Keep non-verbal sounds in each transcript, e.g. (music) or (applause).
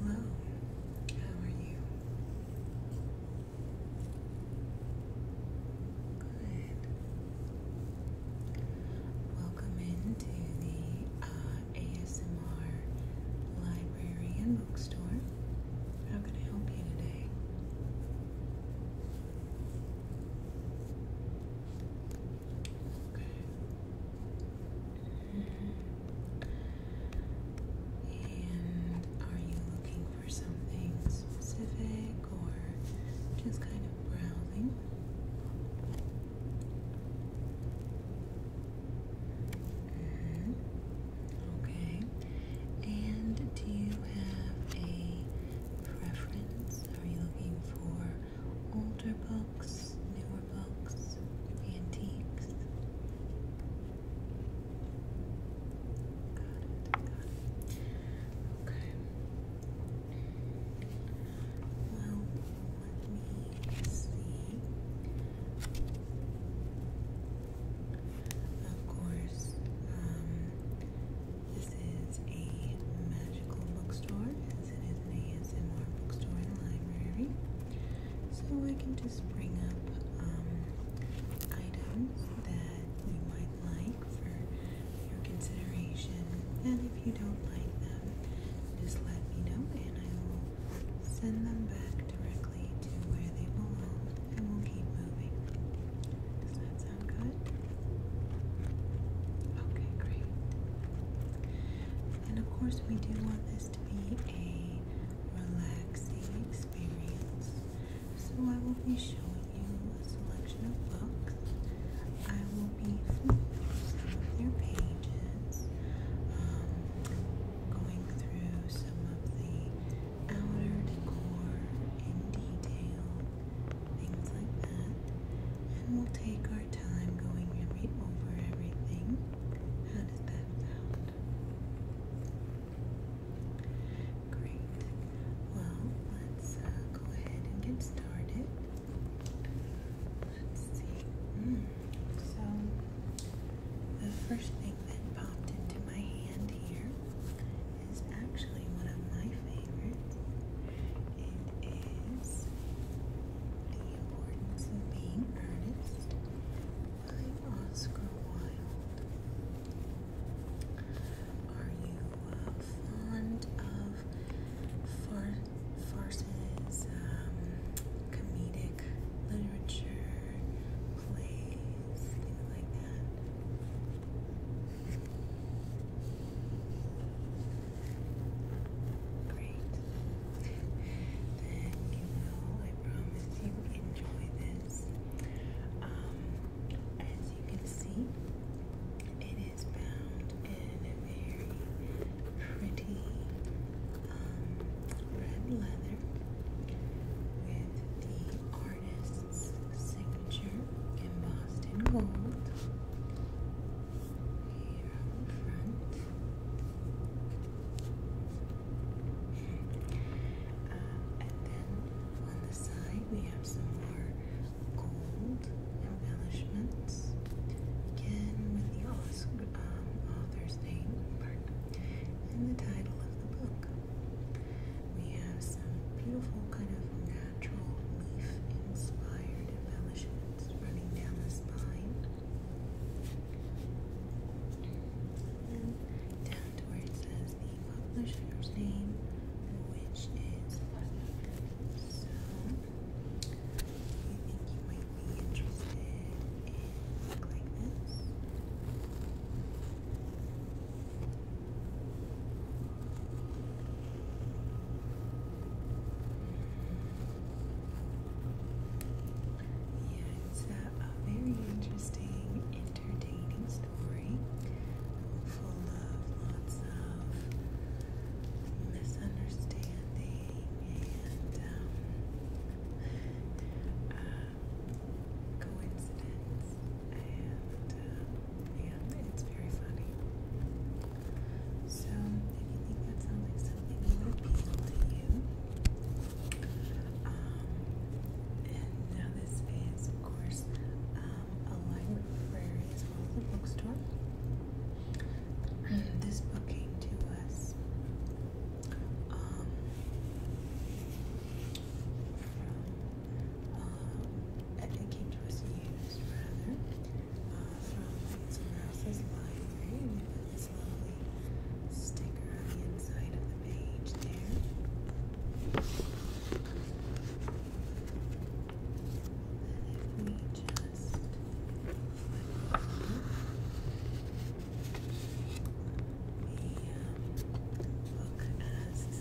Hello, how are you? Good. Welcome into the uh, ASMR library and bookstore. How can I help you today? Okay. And are you looking for something specific or just kind of browsing? Mm -hmm. Okay. And do you have a preference? Are you looking for older books, newer books, antiques. Okay. Well, let me see. Of course, um, this is a magical bookstore, since it is an ASMR bookstore and library. So I can just bring up um, items that you might like for your consideration. And if you don't like them, just let me know and I will send them back directly to where they belong and we'll keep moving. Does that sound good? Okay, great. And of course, we do want this to be a relaxing experience. So, I will be showing you a selection of books. I will be flipping through some of their pages, um, going through some of the outer decor in detail, things like that. And we'll take our time going every, over everything. How does that sound? Great. Well, let's uh, go ahead and get started. Let's see. Hmm. So, the first thing that popped into my hand here is actually one of my favorites. It is the Importance of Being Earnest by Oscar Wilde. Are you uh, fond of far farces, um, comedic literature, plays, things like that? Great. Then you will, I promise you, enjoy this. as you can see, it is bound in a very pretty red leather with the artist's signature embossed in gold and then on the side we have some more gold embellishments. Again with the author's name and the title of the book. We have some beautiful kind of natural leaf inspired embellishments running down the spine down to where it says the publisher's name, which is so you think you might be interested in like this. Hmm. Yeah, uh, it's a, very interesting, entertaining story full of lots of misunderstanding and um, uh, coincidence. And um, yeah, it's very funny. So, if you think that sounds like something that would appeal to you, um, and now this is, of course, um, a library of well as a bookstore. Mm-hmm. this book came to us um, from, um, came to us uh, from this little sticker on the inside of the page there. And if we just flip the book as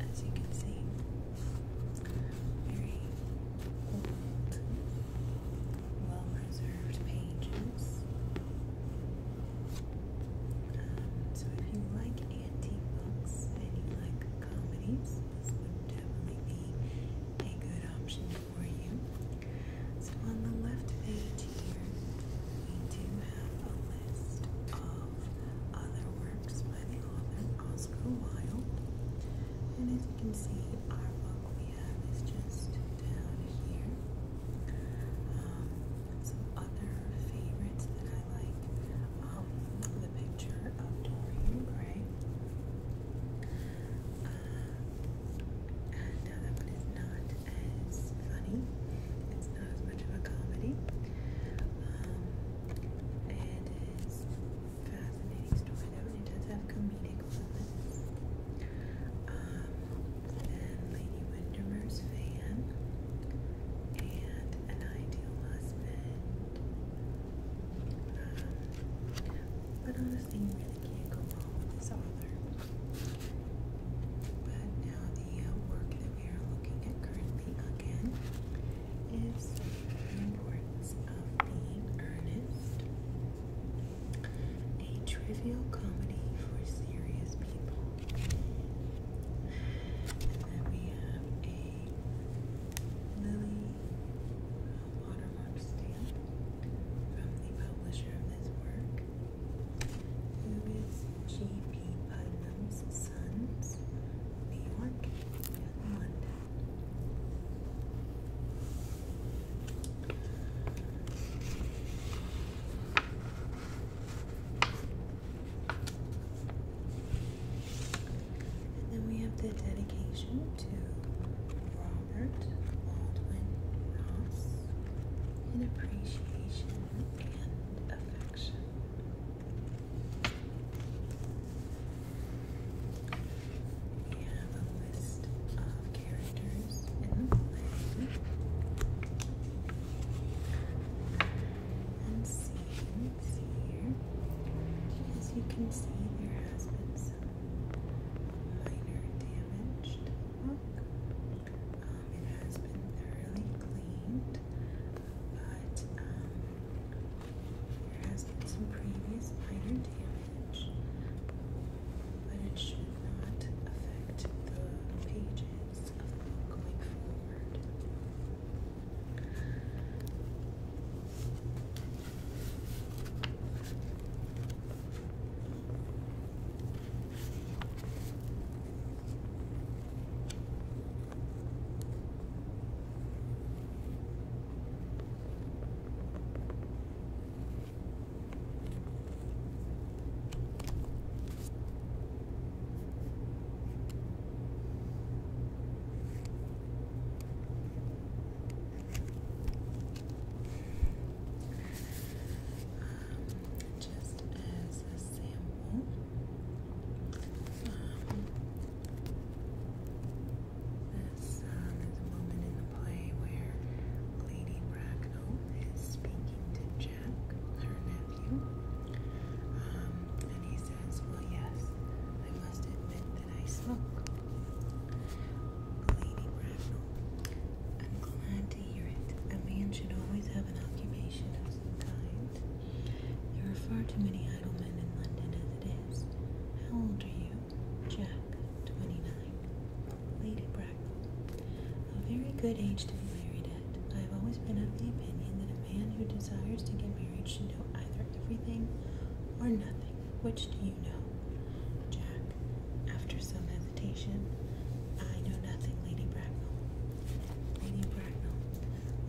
as you can see, very old well preserved pages. Um, so, if you like antique books and you like comedies, this would definitely be a good option for you. So, on the left page here, we do have a list of other works by the author Oscar Wilde. And as you can see, our book we oh, have just down here. Um, some other favorites that I like. Um, the picture of Dorian Gray. Uh, and that uh, one is not as funny. It's not as much of a comedy. Um, and it's fascinating story. That one it does have comedic elements. Um, Lady Windermere's Van and An Ideal Husband. but honestly, you really can't go wrong with this But now the work that we are looking at currently again is the of being earnest. A trivial comedy for serious people. And then we have a Lily watermark stamp from the publisher of this work, who is G.P. Putnam's Sons, New York London. And then we have the dedication to Robert Baldwin Ross in appreciation and affection. We have a list of characters in the play and scenes here. As you can see, there has been some minor damage to the book. it has been thoroughly cleaned, but um, there has been some previous minor damage but it should not affect the pages going forward. Um, just as a sample, um, this um, a moment in the play where Lady Bracknell is speaking to Jack, her nephew, um, and he says, Well, yes, I must admit that I smoke. Lady Bracknell, I'm glad to hear it. A man should always have an occupation of some kind. There are far too many idle men in London as it is. How old are you? Jack, 29. Lady Bracknell. A very good age to be married at. I have always been of the opinion that a man who desires to get married should know either everything or nothing. Which do you know? Jack, after some hesitation, I know nothing, Lady Bracknell. Lady Bracknell,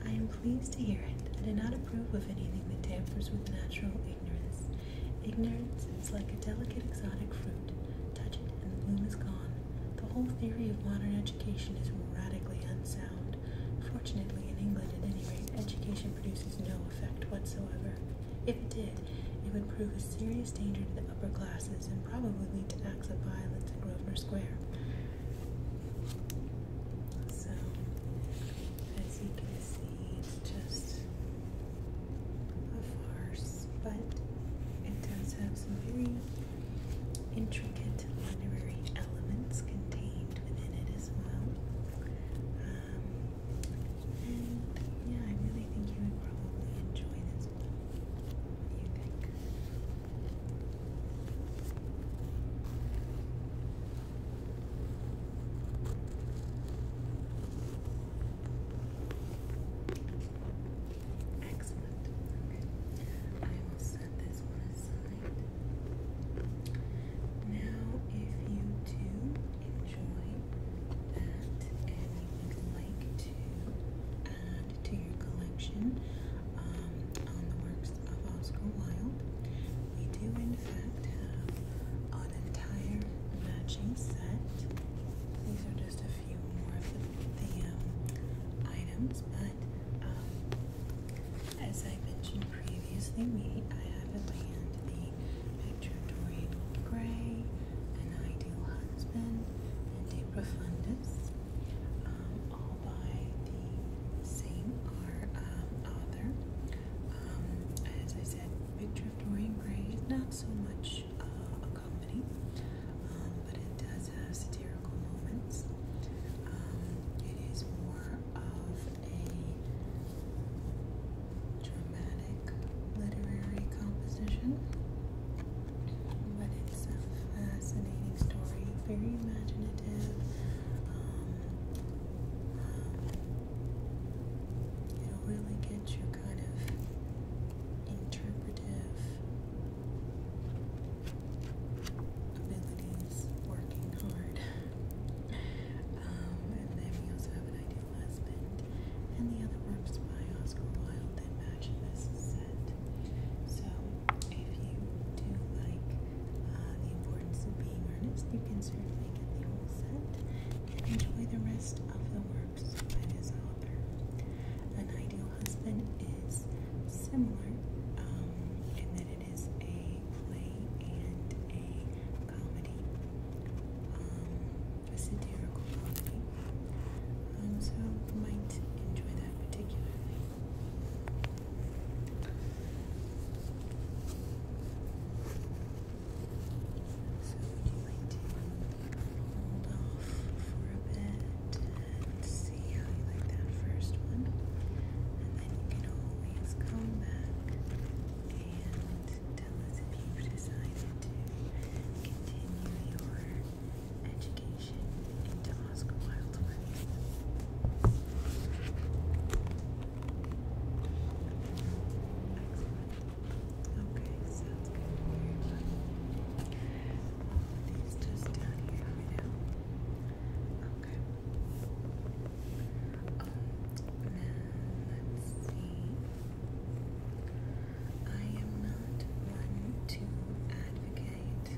I am pleased to hear it. I do not approve of anything that tampers with natural ignorance, Ignorance is like a delicate exotic fruit. Touch it and the bloom is gone. The whole theory of modern education is radically unsound. Fortunately, in England, at any rate, education produces no effect whatsoever. If it did, it would prove a serious danger to the upper classes and probably lead to acts of violence in Grosvenor Square. So, as you can see, it's just a farce, but it does have some very intricate literary elements contained within it as well. Um, and yeah, I really think you would probably enjoy this one. do you think? Excellent. Okay. I will set this one aside. Now, if you do enjoy that and you would like to add to your collection um, on the works of Oscar Wilde, we do in fact have an entire matching set. These are just a few more of the, um, items, but um, as I mentioned previously, we I have at in the picture Dorian Gray, an ideal husband, and De Profundis, um, all by the same art, um, author. as I said, picture Dorian Gray is not so much much uh, a comedy, um, but it does have satirical moments. Um, it is more of a dramatic literary composition, but it's a fascinating story, very imaginative. Um, um, it'll really get you kind of interpretive abilities, working hard. Um, and then we also have an ideal husband, and the other works by Oscar Wilde that match this set. So, if you do like uh, the importance of being earnest, you can certainly get the whole set and enjoy the rest of the work. An ideal husband is similar um, in it is a play and a comedy, um, a satirical comedy. Um, so you might enjoy that particularly. So would you like to hold off for a bit and see how you like that first one? And then you can always come back and tell us if you've decided to continue your education into Oscar Wilde's work. Okay, sounds good. just down Okay. Um, let's see. I am not one to advocate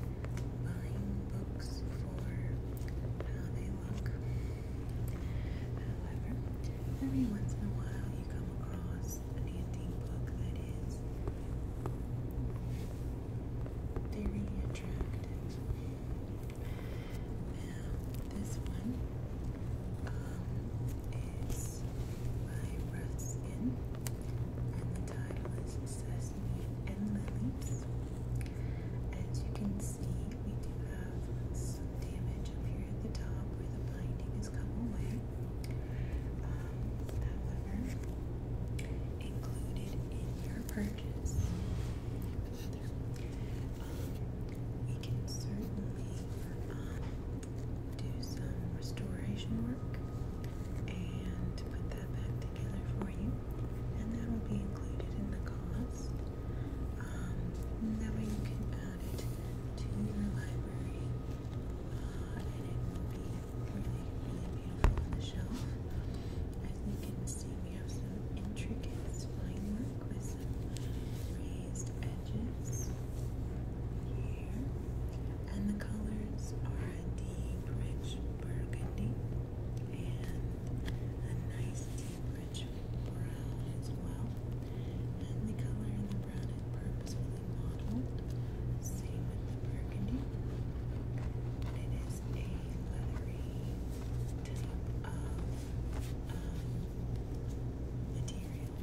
buying books for how they look. However, every once in a while you come across is an antique book that is very attractive. Now, this one um, is by Ruskin, and the title is Sesame and Lilies. As you can see, we do have so damage up here at the top where the binding has come away. however, included in your purchase, um, we can certainly um, do some restoration work and put that back together for you, and that will be included in the cost. Um, to your library, and it will be really, really beautiful on the shelf. As you can see, we have some intricate spline with some raised edges here, and the colors are a deep, rich burgundy and a nice deep, rich brown as well the color in the brown is mottled. Same with the burgundy. it is a leathery type of um, material.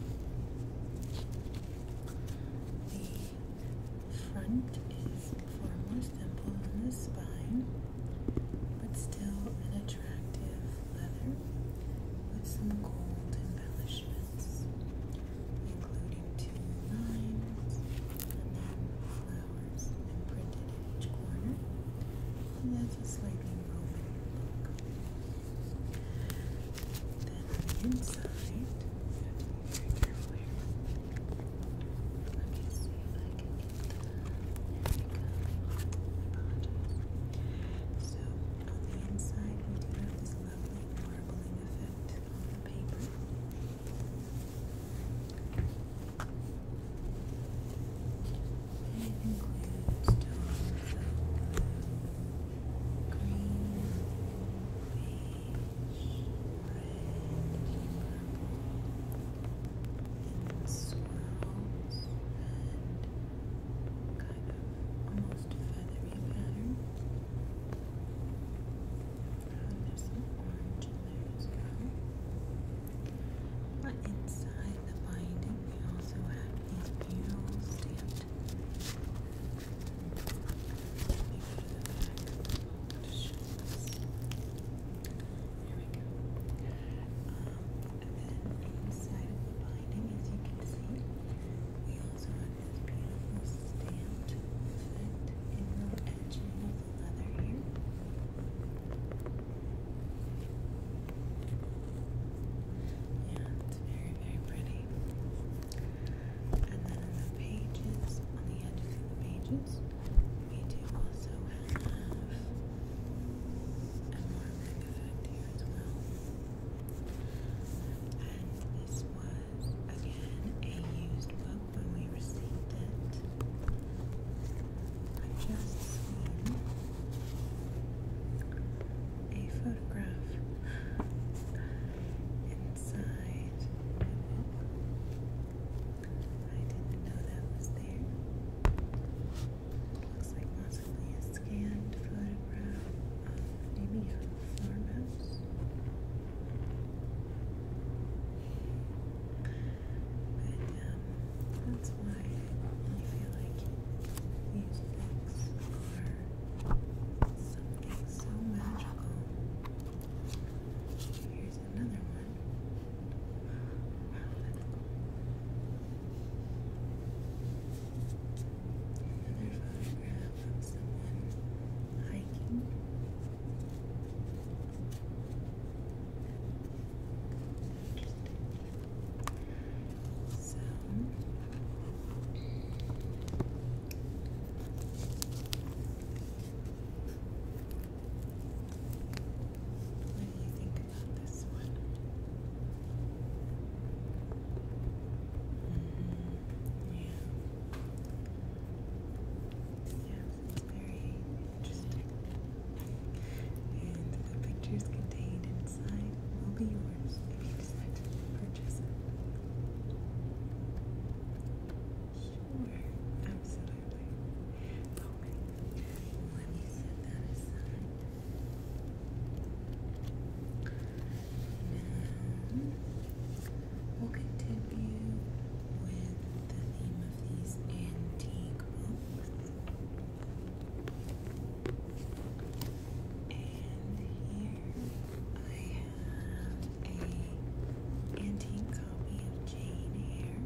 The front is far more simple than the spine, but still an attractive leather with some gold embellishments, including two lines and then flowers imprinted in each corner. And that's a slightly Roman book. Then on the inside, very careful here. see if I can get the. There we So, on the inside, we do have this lovely marbling effect on the paper. It includes tones of green, red, swirls and kind almost feathery pattern. there's some orange in there But inside the binding, we also have these beautiful stamped. Let go we go. Um, and then inside the binding, as you can see, we also have this beautiful stamped effect in the edging of the leather here. Yeah, it's very, very pretty. And then on the pages, on the edges of the pages, we do also have a more effect here as well. And this was, again, a used book when we received it. I just seen a photograph inside oh, I didn't know that was there. looks like lots a scanned photograph of maybe a um, that's why I feel like these books are something so magical. Here's another one. Wow, Another photograph of someone hiking. So what do you think about this one? yeah. Yeah, very interesting. And the pictures contained inside will be yours if you decide to purchase Sure, absolutely. Okay, let me set that aside. Now, we'll continue with the theme of these antique books. And here I have a antique copy of Jane Eyre.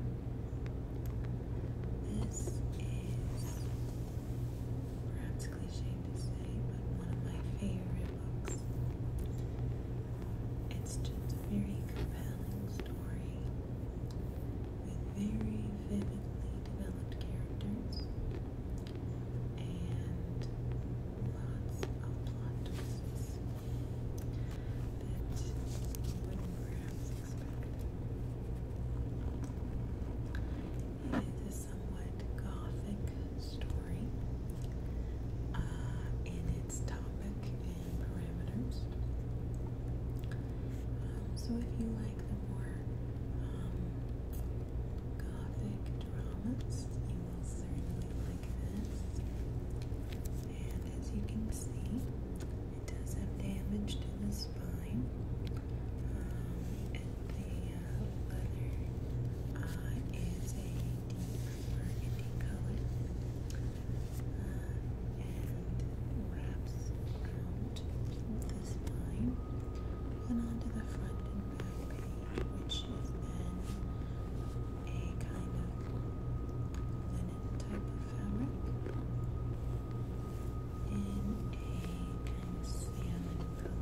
This is practically ashamed but one of my favorite books. It's just a very compelling story with very vividly developed characters and lots of plot twists that you would expect somewhat gothic story uh, in its topic and parameters. Um, so if you like the more um, gothic dramas, you will certainly like this. And as you can see, it does have damage to the spine the leather is a deep burgundy color and wraps around the spine and onto the front and back which is then a kind of linen type of fabric in a kind of salmon color.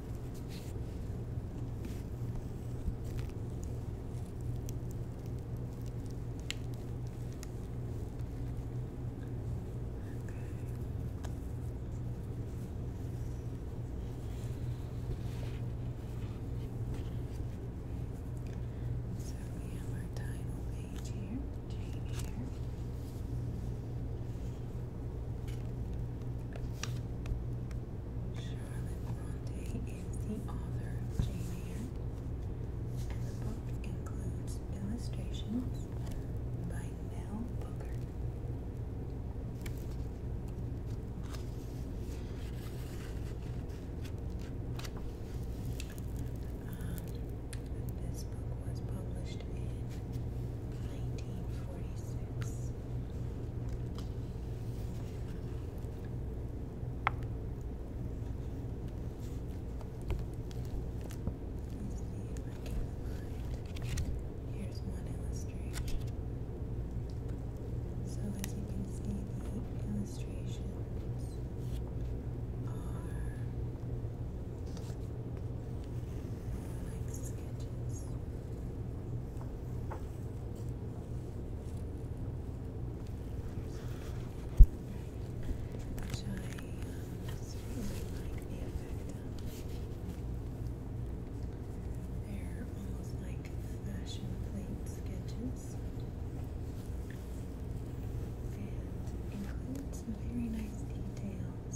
So we have our title here, Jane here. Charlotte Bronte is the author of Jane Eyre, and the book includes illustrations by Nell Booker. this book was published in 1946. Here's one illustration. So as you can see, the illustrations are like sketches. Which I really like the effect They're almost like fashion plate sketches and include some very nice detail um,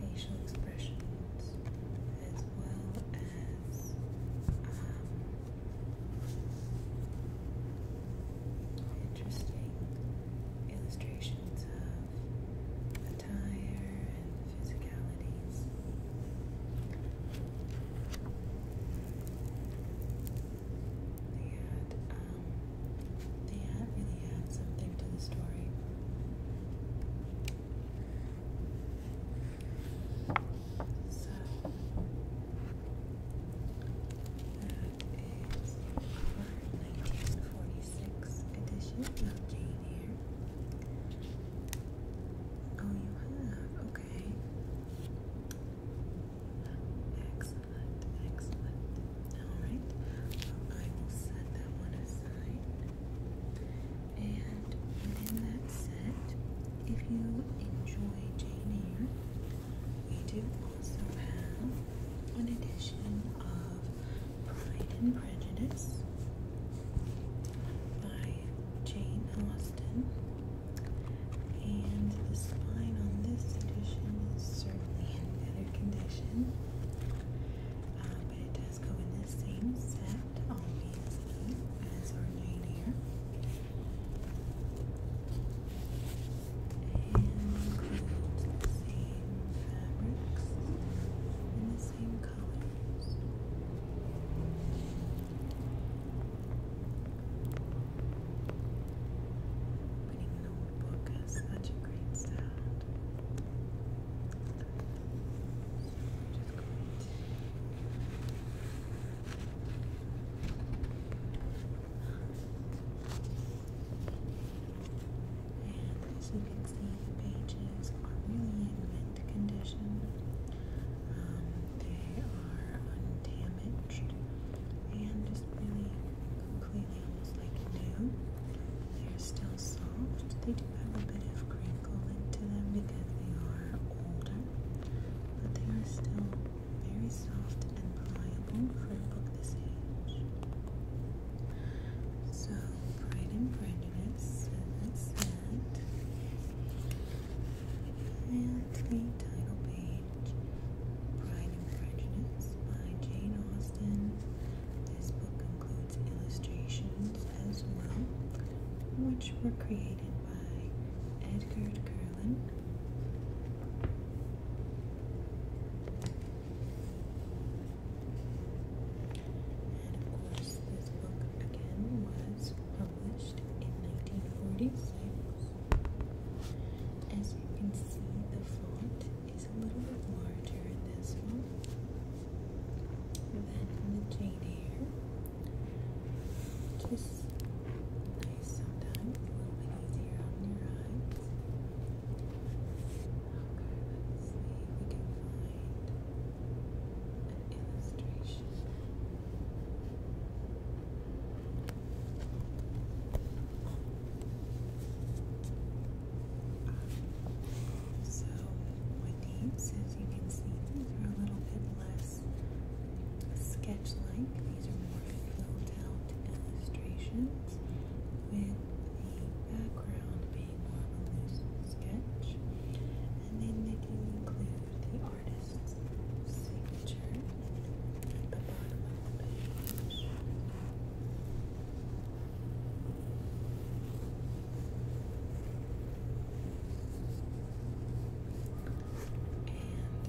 facial expressions, as well as um, interesting illustrations of attire and physicalities. They had, um, they had really had something to the story. So that is our 1946 edition of Jane Oh, you have? Okay. Excellent, excellent. Alright, I will set that one aside. And within that set, if you enjoy Jane Eyre, we do also have an edition of Pride and Prejudice by Jane Austen. And the spine on this edition is certainly in better condition. Um, but it does go in the same set, obviously, as our Nadir. And includes the same fabrics and the same colors. Putting an old book has such a great sound. And as you can see, the pages are really in mint condition. Um, they are undamaged and just really completely almost like new. They're still soft. They do have a bit of crinkle into them because they are older, but they are still very soft and pliable for a book this age. So, Pride and Prejudice, and the title page, Pride and Prejudice by Jane Austen. This book concludes illustrations as well, which were created by Edgar Curlin. And of course, this book again was published in 1946. As you can see, the font is is a little bit larger in this one than in the Jane Eyre, which is nice sometimes, a little bit easier on your eyes. Okay, let's see if we can find an illustration so with these, as you can see, these are a little bit less sketch-like. These are more filled illustrations with the background being more of a loose sketch. And then they do include the artist's signature at the bottom of the page. And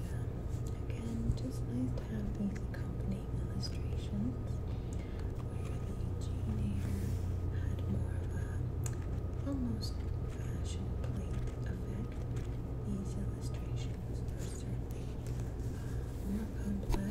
um, again, just nice to have these accompanying illustrations where the Jane had more of almost fashion plate effect. These illustrations are certainly uh, more complex.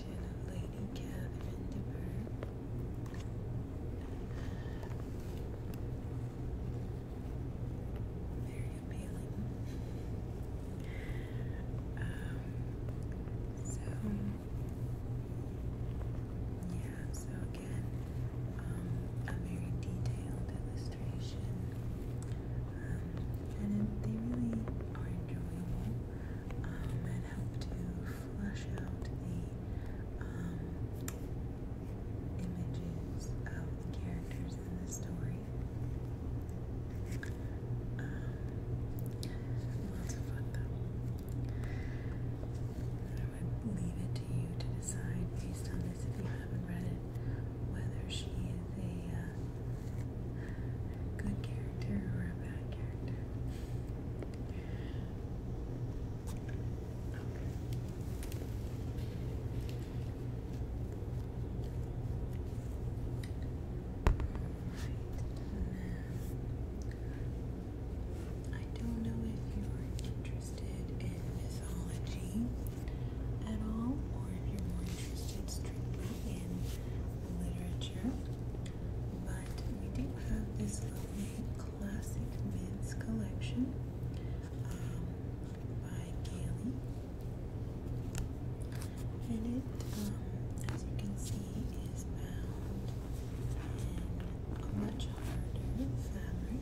collection Lady Catherine de Bourgh. Very appealing. so, um, yeah, so again, a very detailed illustration. and it, they really are enjoyable and um, help to flush out the um, images of the characters in the story. Um, lots of fun though. I would leave it to you to decide based on this if you haven't read it whether she is a uh, good character or a bad character. Okay. Right. I don't know if you're interested in mythology at all, or if you're more interested strictly in literature, but we do have this lovely classic men's collection um, by Gailey, and it, um, as you can see, is bound in much harder fabric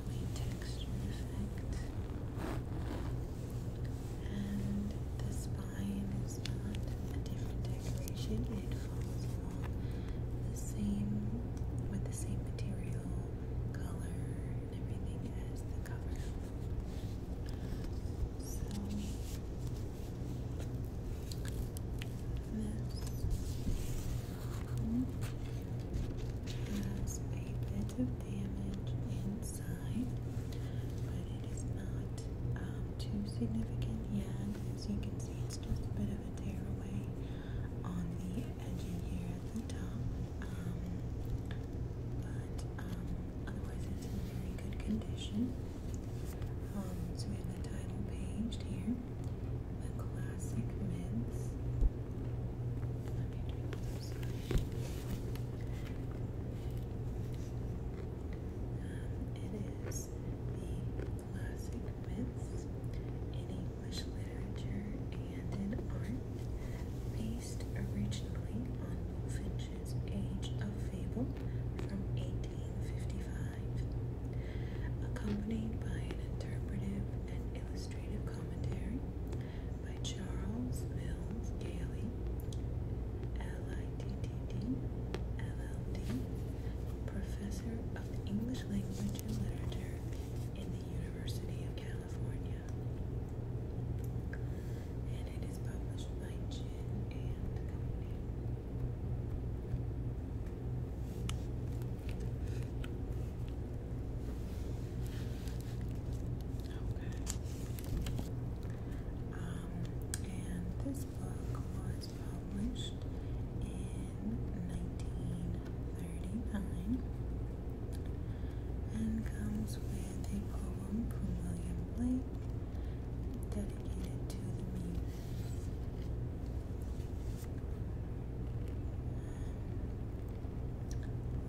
lovely texture effect. And the spine is not a different decoration, it follows along the same with the same material, color, and everything as the cover. So this there is a bit of damage inside, but it is not too significant yet. As you can see, it's just a bit of a tearaway on the edge here at the top. but otherwise, it's in very good condition. Um, so we have the title page here the classic mints. Um, it is the classic myths in English literature and in art, based originally on Bullfinch's Age of Fable from 1855, accompanied by an interpretive and illustrative Illustrated Commentary by Charles Mills Gailey, L.I.T.T.D., Professor of English Language and Literature in the University of California. And it is published by Chin and Company. Okay. Um, and this book was published in 1939 and comes with a poem from William Blake dedicated to the muse.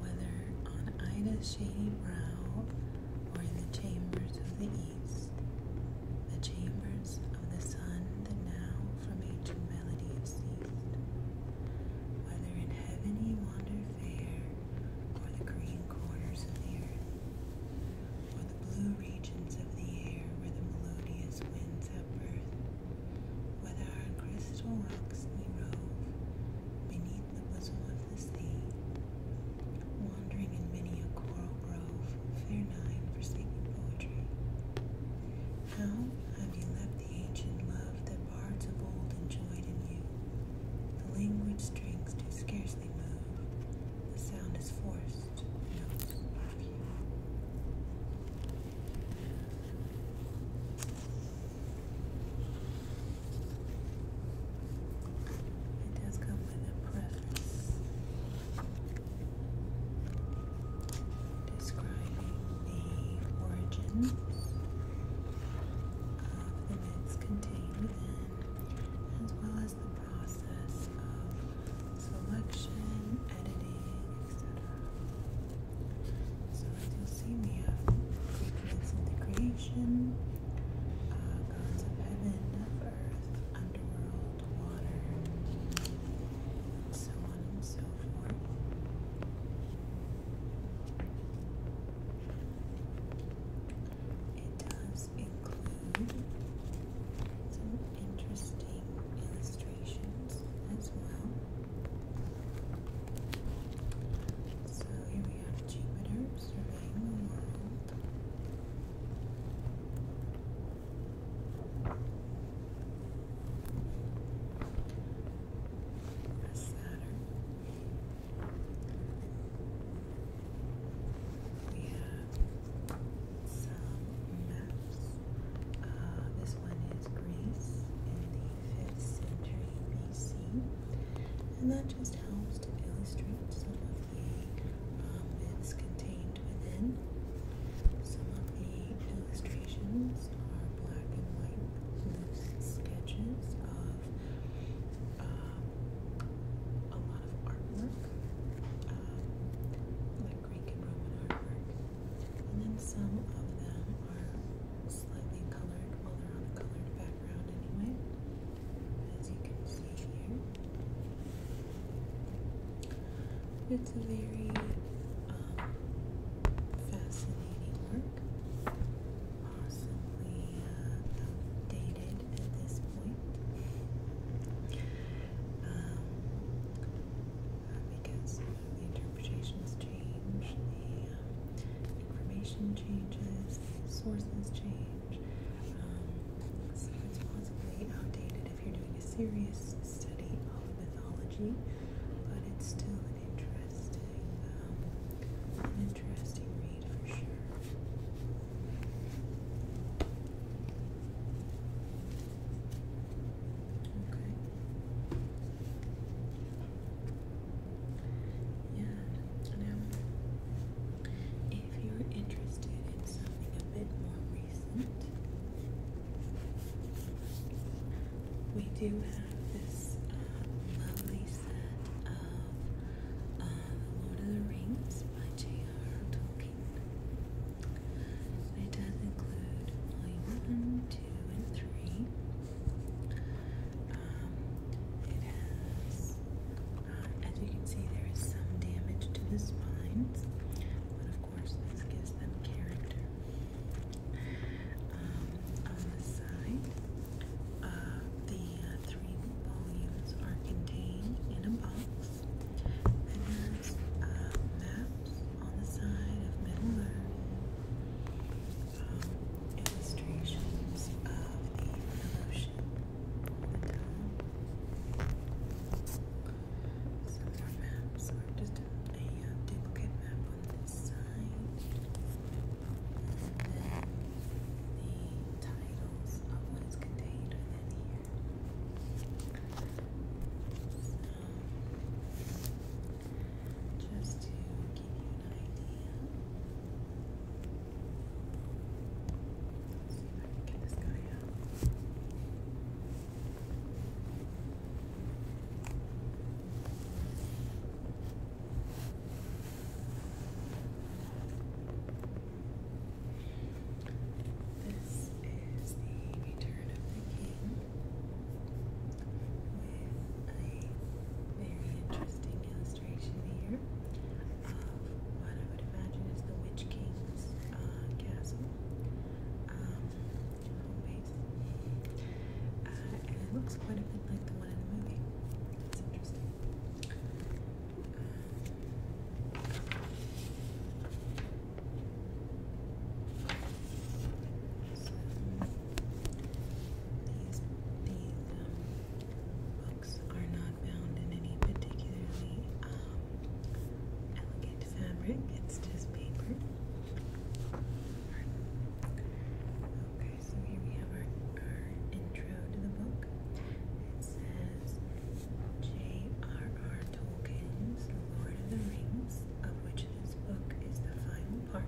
Whether on Ida's shady brow or in the chambers of the east, the chambers of the sun that now from ancient melody has ceased, whether in heaven he wandered fair, or the green corners of the earth, or the blue regions of the air where the melodious winds have birth, whether on crystal rocks we rove, beneath the bosom of the sea, wandering in many a coral grove, fair nine forsaking poetry. How have you left the ancient love that bards of old enjoyed in you? The language strings do scarcely move, the sound is forced, notes are few. It does come with a preference describing the origin of the mix contained as well as the process of selection, editing, etc. So as you'll see, uh, we have figments of the creation, uh, gods of heaven, of earth, underworld, water, and so on and so forth. It does include some interesting illustrations as well. So here we have Jupiter surveying the world. Saturn. We have some maps. Uh, this one was in the 5th century BC, and that just helps to illustrate some of the um, contained within. Some of the illustrations are black and white loose sketches of um, a lot of artwork, um, like Greek and Roman artwork, and then some of them are slightly colored, well they're on a colored background anyway, as you can see here. It's a very um, fascinating work, possibly uh, outdated at this point. Um, because the interpretations change, the um, information changes, the sources change. Um, so it's possibly outdated if you're doing a serious study of mythology, but it's still an interesting, um, an interesting read for sure. Okay. Yeah. Now, if you're interested in something a bit more recent, we do have this uh, lovely set of *The uh, Lord of the Rings by J.R.R. Tolkien. It does include volume 1, 2, and 3. Um, uh, as you can see, there is some damage to the spines, but of course, this gives them character. Um, on the side, uh, the uh, three volumes are contained in a box. And there's uh, maps on the side of Middle illustrations of the revolution Some of our maps just a, a uh, duplicate map on this side. the titles of what is contained within here just to give you an idea. Let's see if I can get this guy out. This is the Return of the King with a very interesting illustration here of what I would imagine is the Witch King's castle and it looks quite a bit like the one in the movie. It's interesting. These, these um, books are not bound in any particularly um, elegant fabric, it's just paper. Okay, so here we have our, intro to the book. It says J.R.R. Tolkien's Lord of the Rings, of which this book is the final own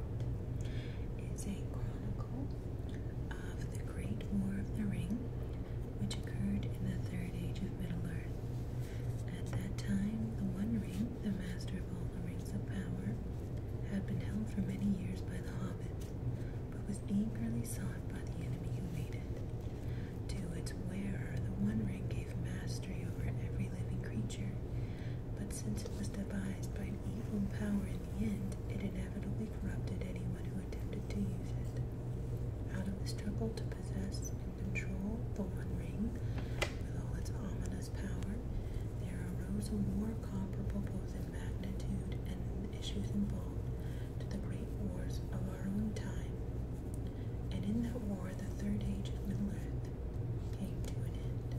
is a chronicle of the Great War of the Ring, which occurred in the Third Age of Middle Earth. At that time, the One Ring, the master of all the rings of power, had been held for many years by the hobbits, but was eagerly sought by the enemy who made it. To its wearer, the One Ring gave mastery over every living creature, but since it was devised by an evil power in the end, it inevitably corrupted anyone who attempted to use it. Out of the struggle to possess and control the One Ring, with all its ominous power, there arose a war comparable both in magnitude and in the issues involved to the great wars of our own time. And in that war, the Third Age of Middle Earth came to an end.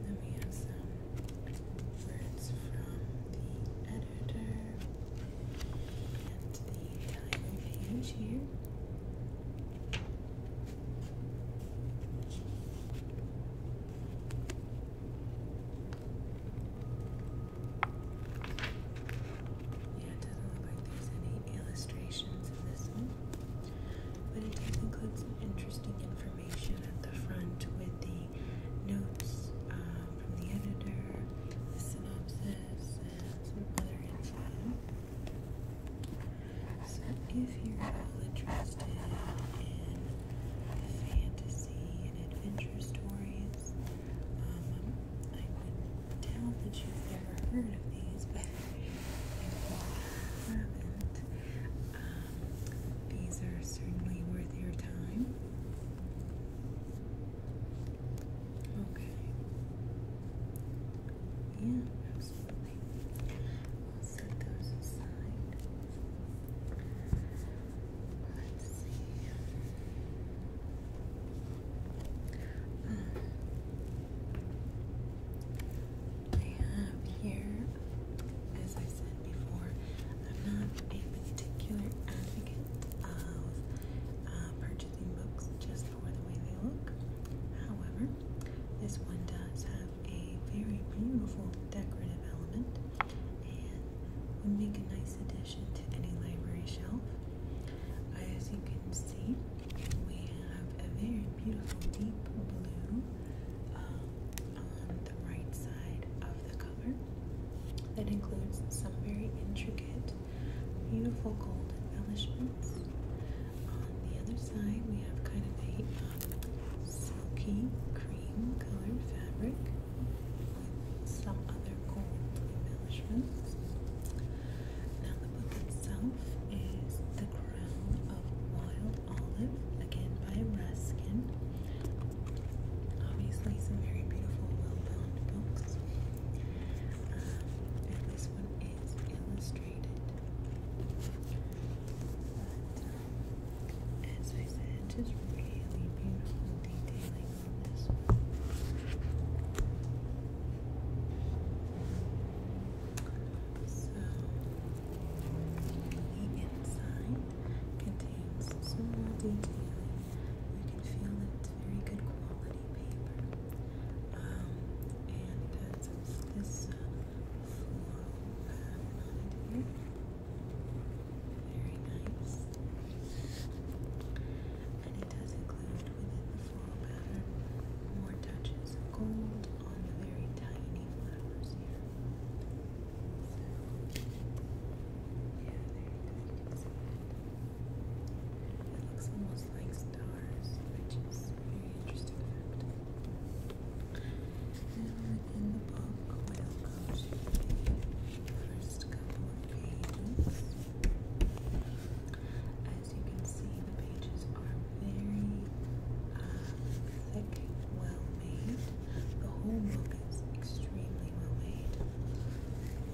Then we have some words from the editor and the title page here. Yeah, it doesn't look like there's any illustrations in this one, but it does include some interesting information at the front with the notes uh, from the editor, the synopsis, and some other information. So if you're at all interested in fantasy and adventure stories, um, I doubt that you've never heard of these, but um, these are certainly worth your time. Okay. Yeah, absolutely. set those aside. Let's see. I have here, as I said before, I'm not a particular advocate of uh, purchasing books just for the way they look. However, this one does have a very beautiful decorative element and would make a nice addition to any library shelf. As you can see, we have a very beautiful deep blue um, on the right side of the cover that includes some very intricate, beautiful gold embellishment ends. On the other side, we have kind of a um, silky cream colored fabric with some other gold embellishments. Now, the book itself is The Crown of Wild Olive, again by Ruskin. Obviously, some very beautiful, well bound books. Uh, and this one is illustrated frustrated. Um, as I said, just really beautiful detailing So, the inside contains small detailing. You can feel it's very good quality paper. Um, and it this uh, very nice. And it does include within the floral pattern more touches of gold on the very tiny flowers here. So, yeah, there you It looks almost like stars, which is very interesting fact. within the book, we'll go to the first couple of pages. As you can see, the pages are very uh, thick, well made. The whole book is extremely well made.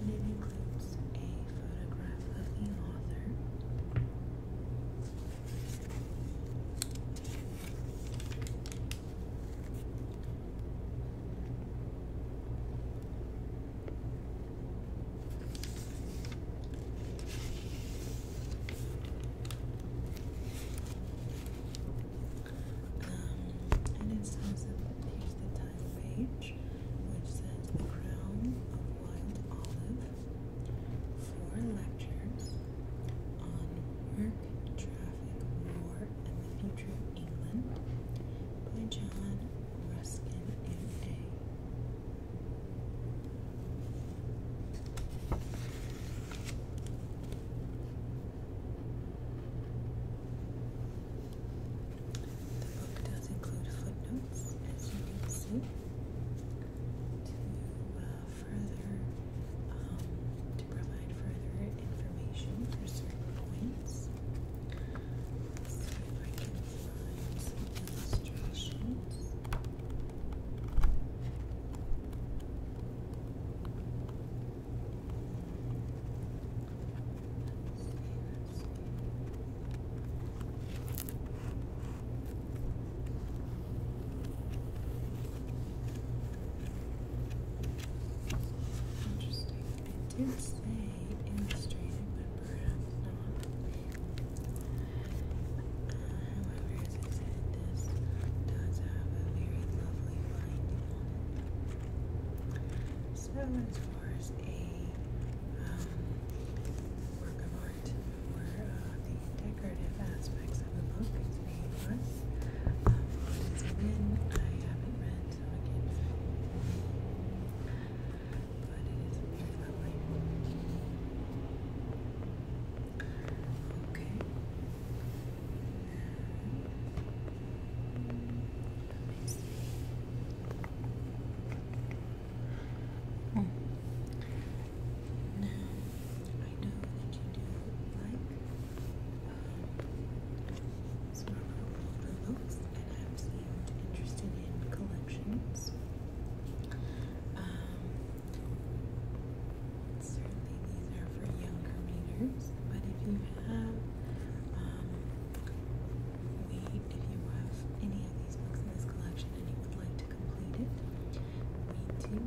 it includes a photograph of the author, um, and it says here's the title page, which says the crown of wild olive four lectures on work, traffic, war, and the future of England by John Ruskin M.A. The book does include footnotes, as you can see, uh, further um, to provide further information for certain points. I can find some illustrations. Interesting. It did say but perhaps not. however, this does have a very lovely binding So, as far as a um, want uh, the decorative aspects of the book is being put. Um, I haven't read, so But it is very Okay. Oh. Now, I know that you do like um, some older looks, and I'm seemed interested in collections. Um, certainly, these are for younger readers, but if you have um, we, if you have any of these books in this collection and you would like to We do have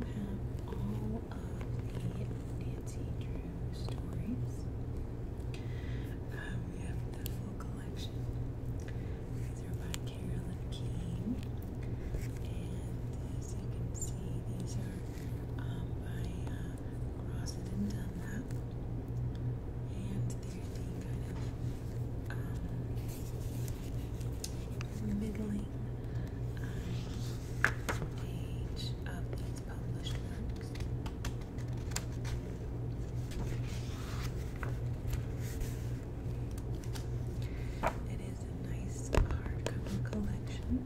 all of the Nancy Drew stories. Um, we have the full collection. These are by Carolyn King. And as you can see, these are um, by uh, Dunlap. And they're the kind of um, middling um, page of these published It is a nice hardcover collection.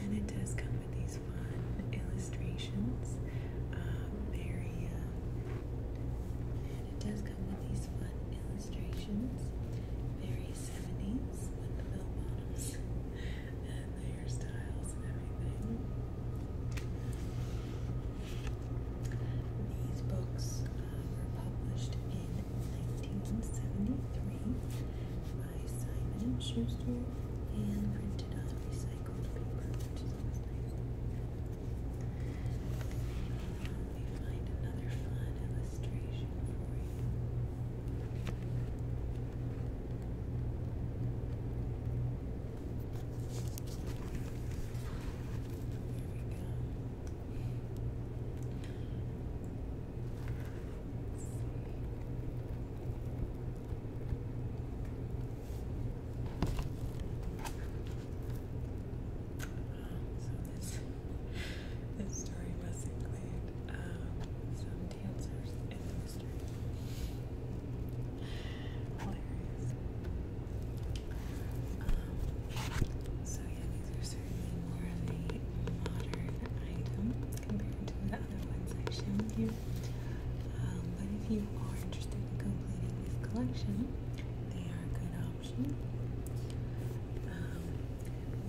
And it does come with these fun illustrations. Um, very um, it does come with these fun illustrations. Very 70s with the bell bottoms (laughs) and the hairstyles and everything. These books uh, were published in 1973 by Simon & Schuster and printed on recycled paper, which is always nice. Let me find another fun illustration for you. we go so this, this story must include um, some dancers in the mystery. Hilarious. so yeah, these are certainly more of a modern item compared to the other ones I've you. but if you are interested in completing this collection, they are a good option. Um,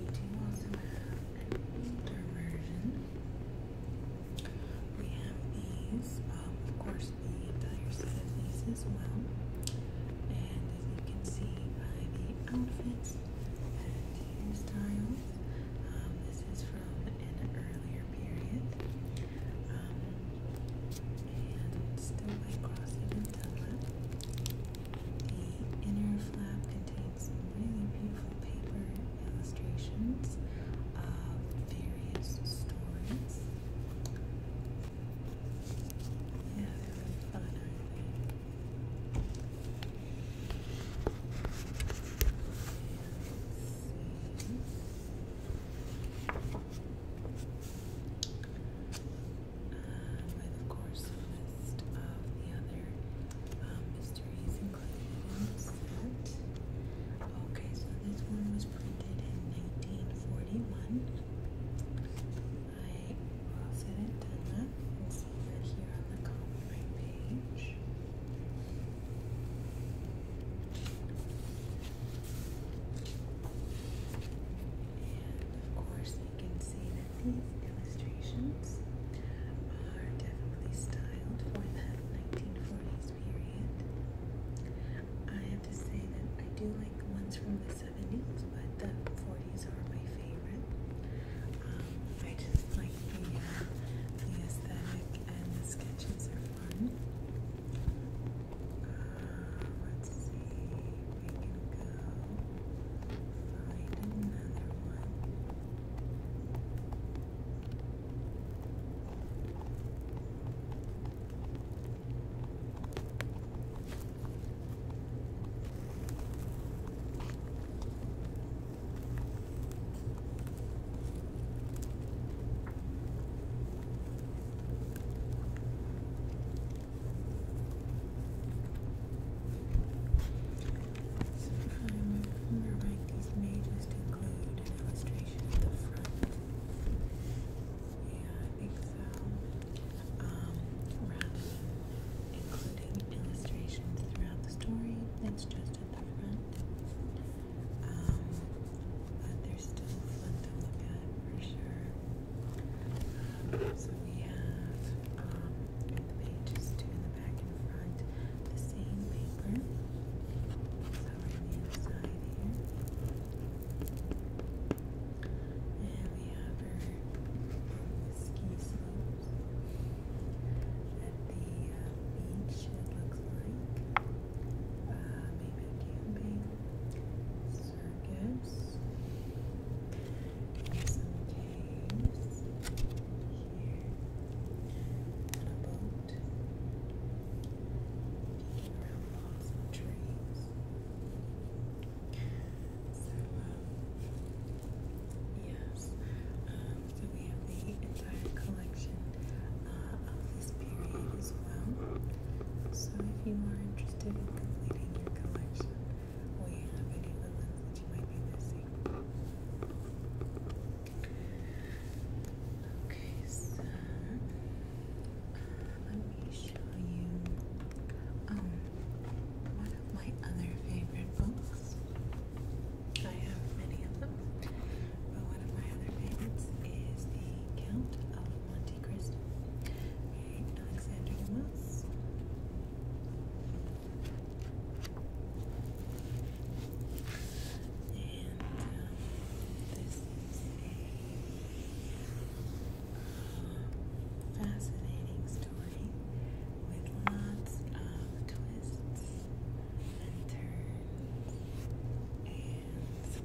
we do also have an older version. We have these, um, of course, the entire And as you can see by the outfits and hairstyles, um, this is from an earlier period and still by crossing until The inner flap contains some really beautiful paper illustrations of various stories. Yeah, they're fun, with, uh, of course, list of the other um, mysteries included in the Okay, so this one was printed in 1941. I frosted it done up and see that here on the copyright page. And of course, you can see that these illustrations are definitely styled for that 1940s period. I have to say that I do like the ones from the 70s, but the 40s are my favorite. Um, I just like the, uh, the aesthetic and the sketches are fun. Um, let's see we can go find another one. So if I remember right, these may just include an at the front. Yeah, I think so. Um, rather including illustrations throughout the story, that's just at the front. Um, but they still fun to look at for sure. so we have um, the pages two in the back and front, the same paper. Covering the inside here. And we have her the slopes at the uh, beach, it looks like. Uh, camping circus, some caves here, and a boat around logs and trees. So, um, yes, so we have the entire collection uh, of this period as well. So if you are interested in completing your collection, we have any of the ones that you might be missing. Okay, so uh, let me show you um, one of my other favorite books. I have many of them, but one of my other favorites is The Count of Monte Cristo, Alexander Dumas. And um, this is a uh, fascinating story with lots of twists and turns and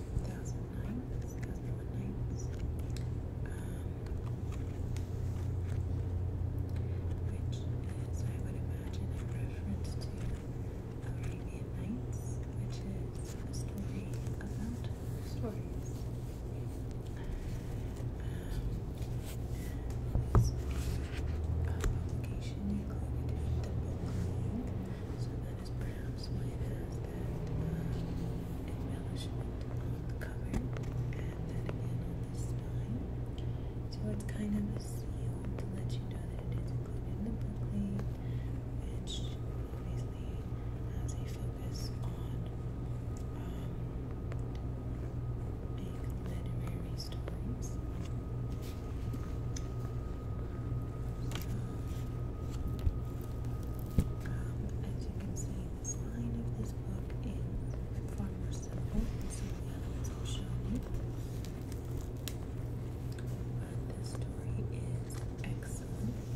2009, 2009. Um, which is, I would imagine, a reference to Arabian Nights, which is a story about stories. publication included the book that is perhaps why has that uh, embellishment on the cover. Add that again on this spine. So it's kind of a seal to let you know that it is included in the booklet, which obviously has a focus on um, big literary stories. Um, as you can see, this line of this book is far more simple than some of I've shown you. But this story is excellent.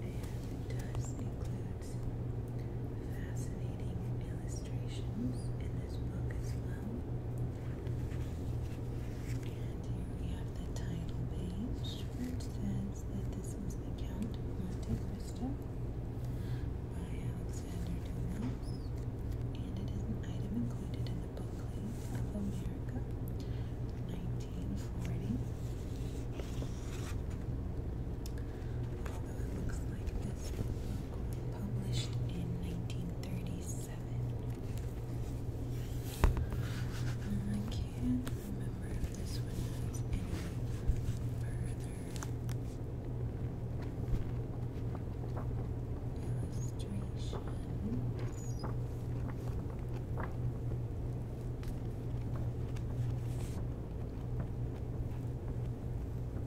And it does include fascinating illustrations in this book as well. And here we have the title page, which says that this was the Count of Monte Cristo by Alexander Dumas, and it is an item included in the Booklet of America, 1940. Although it looks like this published in 1937. I can't remember if this one has any further illustrations.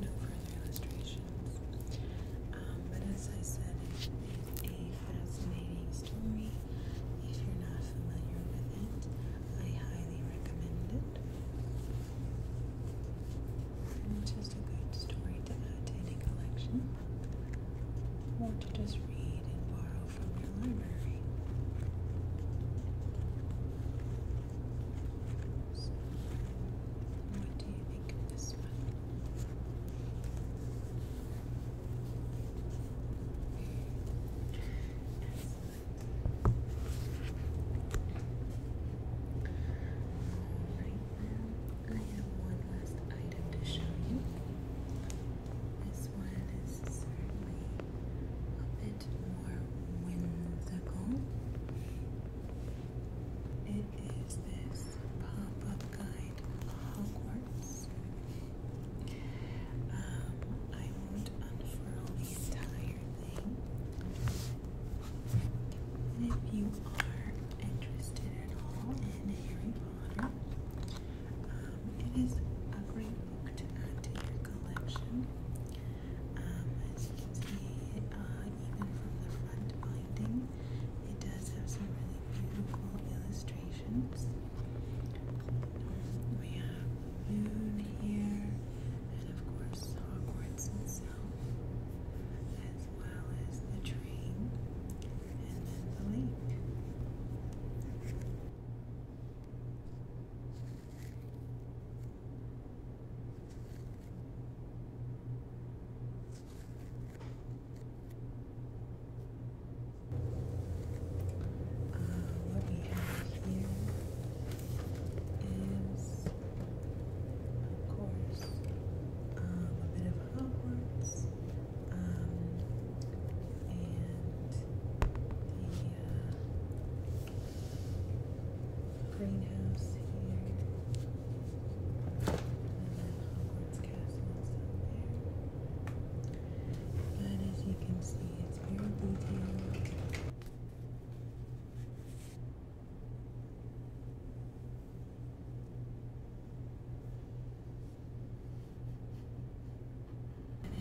no, further illustrations. but as I said, it is a fascinating story. If you're not familiar with it, I highly recommend it. It's just a good story to add to any collection, or to just read and borrow from your library what do you think of this one? Alright now, I have one last item to show you. This one is certainly a bit more whimsical. It is this pop-up guide Hogwarts. Um, I won't unfurl the entire thing. if you are interested at all in Harry Potter, um, it is a great book to add to your collection. Um, as you can see, uh, even from the front binding, it does have some really beautiful illustrations. We have the moon here, and of course, Hogwarts itself, as well as the train and then the lake. Uh, what we have here is, of course, um, a bit of Hogwarts um, and the uh, greenhouse here, and then Hogwarts Castle is up there. But as you can see, it's very detailed.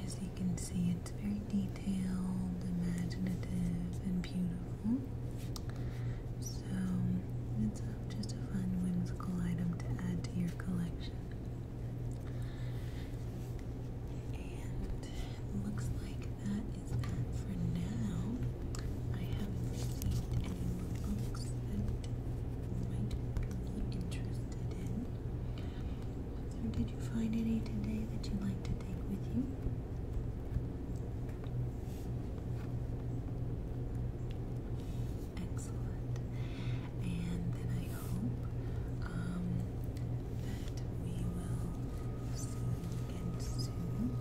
as you can see, it's very detailed, imaginative, and beautiful. So it's just a fun whimsical item to add to your collection. And looks like that is that for now. I haven't received any books that might be interested in. So did you find any today that you'd like to take with you? Excellent. And then I hope um, that we will see again soon.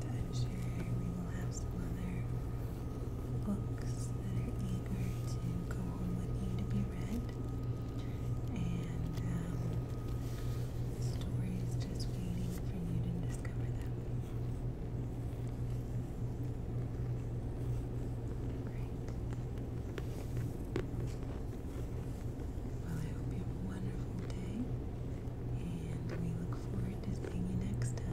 And I'm sure we will have some other books that are eager to go home with you to be read. And um, Stories just waiting for you to discover them. Great. Well, I hope you have a wonderful day, and we look forward to seeing you next time.